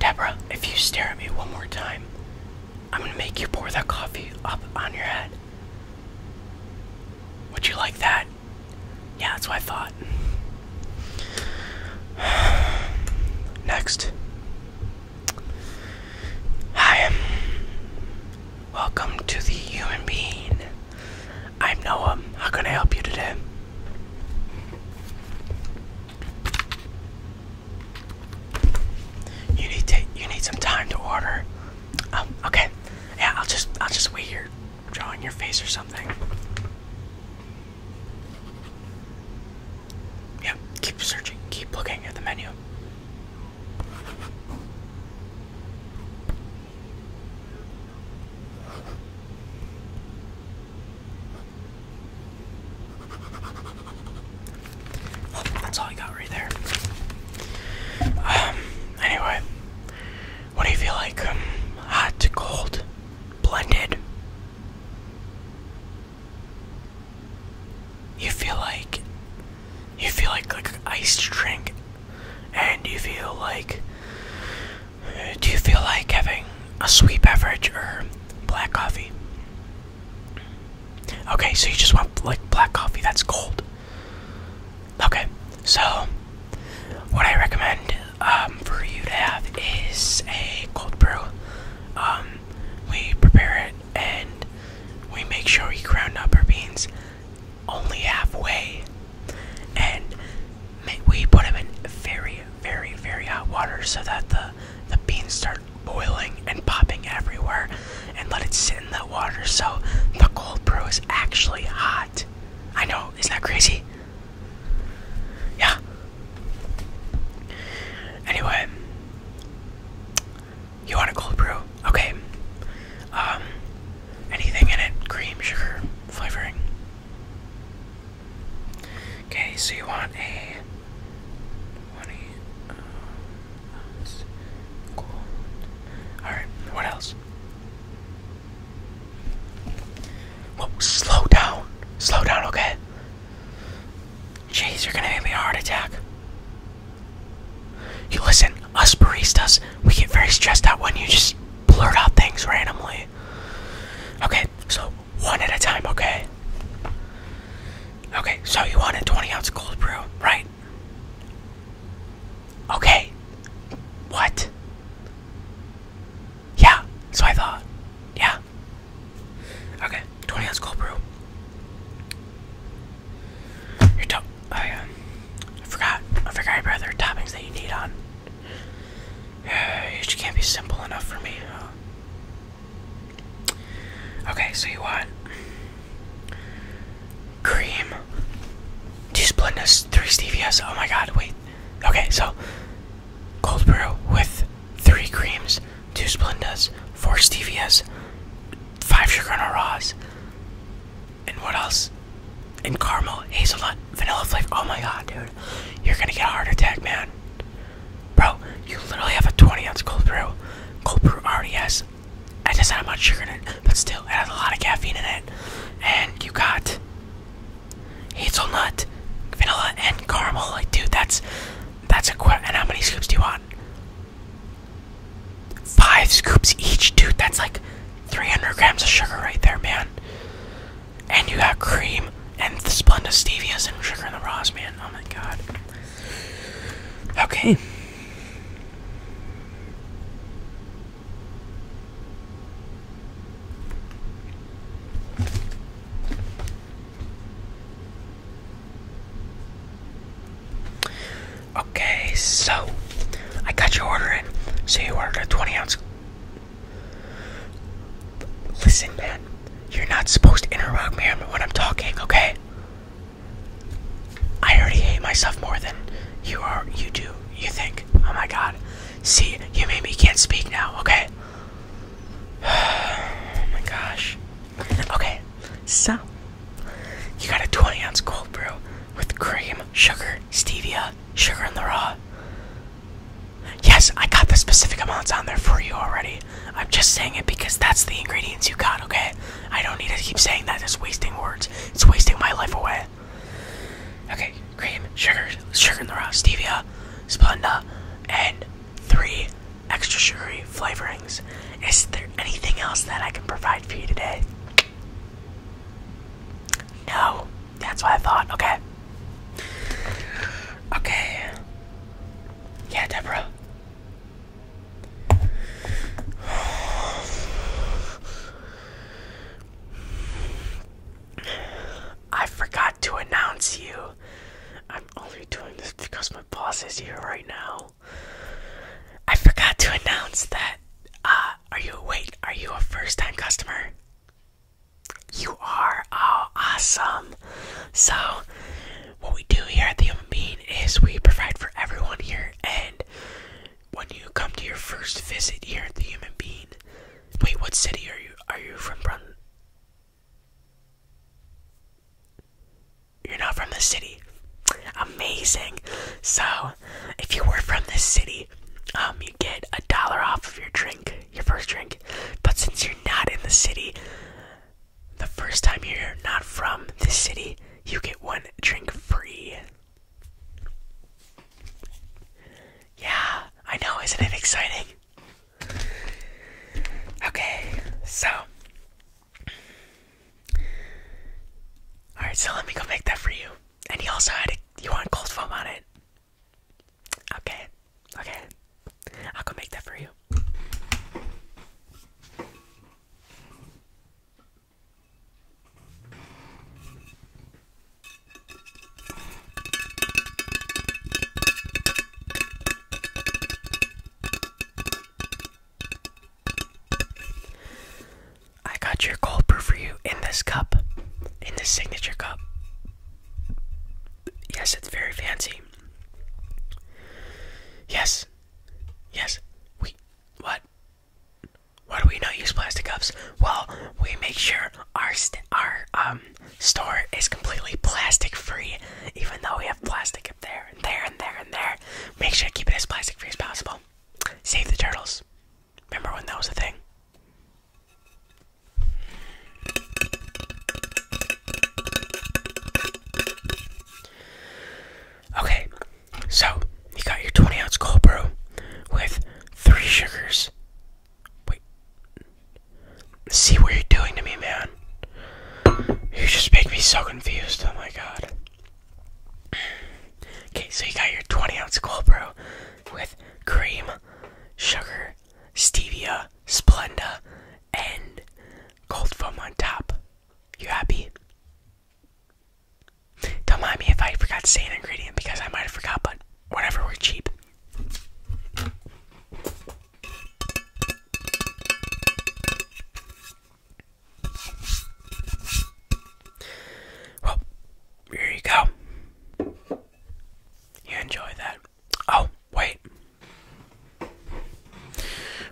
Debra, if you stare at me one more time, I'm gonna make you pour that coffee up on your head. Would you like that? Yeah, that's what I thought. Next. Hi. Welcome to the human being. I'm Noah. How can I help you today? You need to you need some time to order. Oh, okay. Yeah, I'll just I'll just wait here drawing your face or something. Yeah, keep searching, keep looking at the menu that's all I got right there. Um, anyway, what do you feel like? Um, hot to cold, blended. You feel like you feel like like an iced drink, and you feel like do you feel like having a sweet beverage or black coffee? Okay, so you just want like black coffee that's cold. Okay, so what I recommend um, for you to have is a cold brew. Um, we prepare it and we make sure we ground up our beans only halfway, and we put them in very, very, very hot water so that the the beans start boiling and popping everywhere, and let it sit in the water so the cold brew is actually hot. I know, isn't that crazy? Yeah. Anyway, you want a cold brew? Okay. Um, anything in it? Cream, sugar, flavoring. Okay, so you want a 20 um, uh, Alright, what else? Whoa, slow down. Slow down, okay? Jeez, you're gonna give me a heart attack. You listen, us baristas, we get very stressed out when you just blurt out things randomly okay? so one at a time, okay? Okay, so you want a 20 ounce cold brew, right? Okay. What? Yeah, so I thought. Yeah. Okay, 20 ounce cold brew. Your top. Oh, yeah. Um, I forgot. I forgot brother toppings that you need on. It can't be simple enough for me. Okay, so you want cream, two split three stevias. Oh my god, wait. Okay, so cold brew with three creams, two Splendas, four stevias, five sugar and raws, and what else? and caramel, hazelnut, vanilla flavor. Oh my god, dude. You're gonna get a heart attack, man. Bro, you literally have a 20 ounce cold brew. Cold brew already has. I just had much sugar in it, but still, it has a lot of caffeine in it. And you got hazelnut, vanilla, and caramel. Like, dude, that's that's a quit. And how many scoops do you want? Five scoops each, dude. That's like 300 grams of sugar right there, man. And you got cream and the Splenda Stevias and Sugar and the Raws, man. Oh my god. Okay. Okay, so I got your order in. So you ordered a 20 ounce Listen, man, you're not supposed to interrupt me when I'm talking, okay? I already hate myself more than you are. You do. You think? Oh my God! See, you made me can't speak now. Okay. oh my gosh. Okay, so you got a 20 ounce cold brew with cream, sugar, stevia, sugar in the raw. Yes, I got the specific amounts on there for you already. I'm just saying it because that's the ingredients you got, okay? I don't need to keep saying that. It's wasting words. It's wasting my life away. Okay, cream, sugar, sugar in the raw, stevia, Splenda, and three extra sugary flavorings. Is there anything else that I can provide for you today? No, that's what I thought. Okay. Okay. Yeah, Deborah. I forgot to announce you. I'm only doing this because my boss is here right now. I forgot to announce that uh, are you wait? Are you a first-time customer? You are. Oh, awesome! So, what we do here at the Human Bean is we provide for everyone here, and when you come to your first visit here at the Human Bean, wait, what city are you? Are you from? Brun You're not from the city. Amazing. So, if you were from this city, um, you get a dollar off of your drink, your first drink. But since you're not in the city, the first time you're not from this city, you get one drink free. Yeah, I know, isn't it exciting? Okay, so. Alright, so let me go make that for you and he also had a you want cold foam on it. Okay, okay, I'll go make that for you. I got your cold brew for you in this cup, in this signature cup. Yes, it's very fancy. Yes, yes, we. What? Why do we not use plastic cups? Well, we make sure our our um store is completely plastic free, even though we have plastic up there and there and there and there. Make sure to keep it as plastic free as possible. Save the turtles. Remember when that was a thing? Okay, so you got your 20 ounce cold brew with three sugars. Wait. See what you're doing to me, man. You just make me so confused. Oh my god. Okay, so you got your 20 ounce cold brew with cream, sugar, stevia, Splenda, and cold foam on top. You happy? Don't mind me if I forgot saying an ingredient because I might have forgot, but whatever, we're cheap. Well, here you go. You enjoy that. Oh, wait.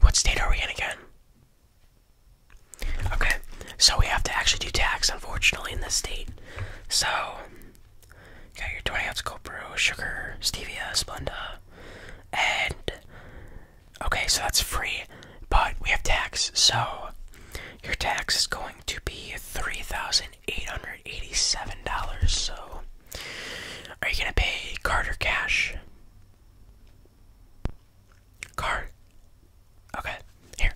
What state are we in again? Okay, so we have to actually do tax, unfortunately, in this state. So, you got your 20 ounce cold sugar, stevia, Splenda, and Okay, so that's free, but we have tax. So your tax is going to be three thousand eight hundred eighty-seven dollars. So are you gonna pay Carter cash? Card. Okay, here.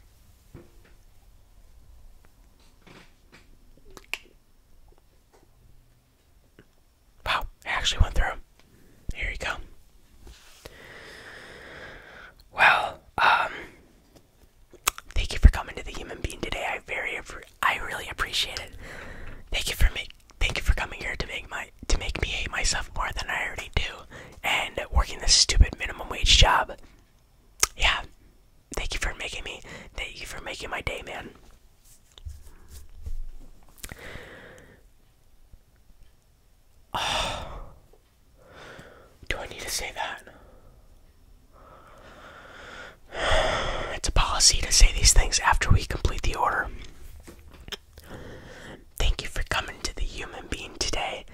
Wow, it actually went through. Here we go. Well, um, thank you for coming to the Human Being today. I very, I really appreciate it. Thank you for make, thank you for coming here to make my, to make me hate myself more than I already do, and working this stupid minimum wage job. Yeah, thank you for making me. Thank you for making my day, man. Do I need to say that? It's a policy to say these things after we complete the order. Thank you for coming to the human being today.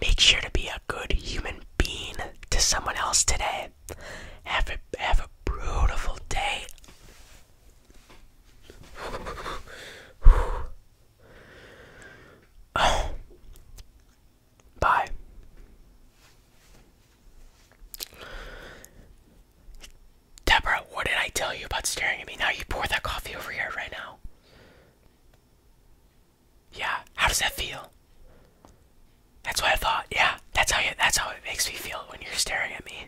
Make sure to be a good human being to someone else today. Have a have a beautiful day. Bye. Deborah, what did I tell you about staring at me? Now you pour that coffee over here right now. Yeah, how does that feel? That's what I thought. Yeah, that's how that's how it makes me feel when you're staring at me.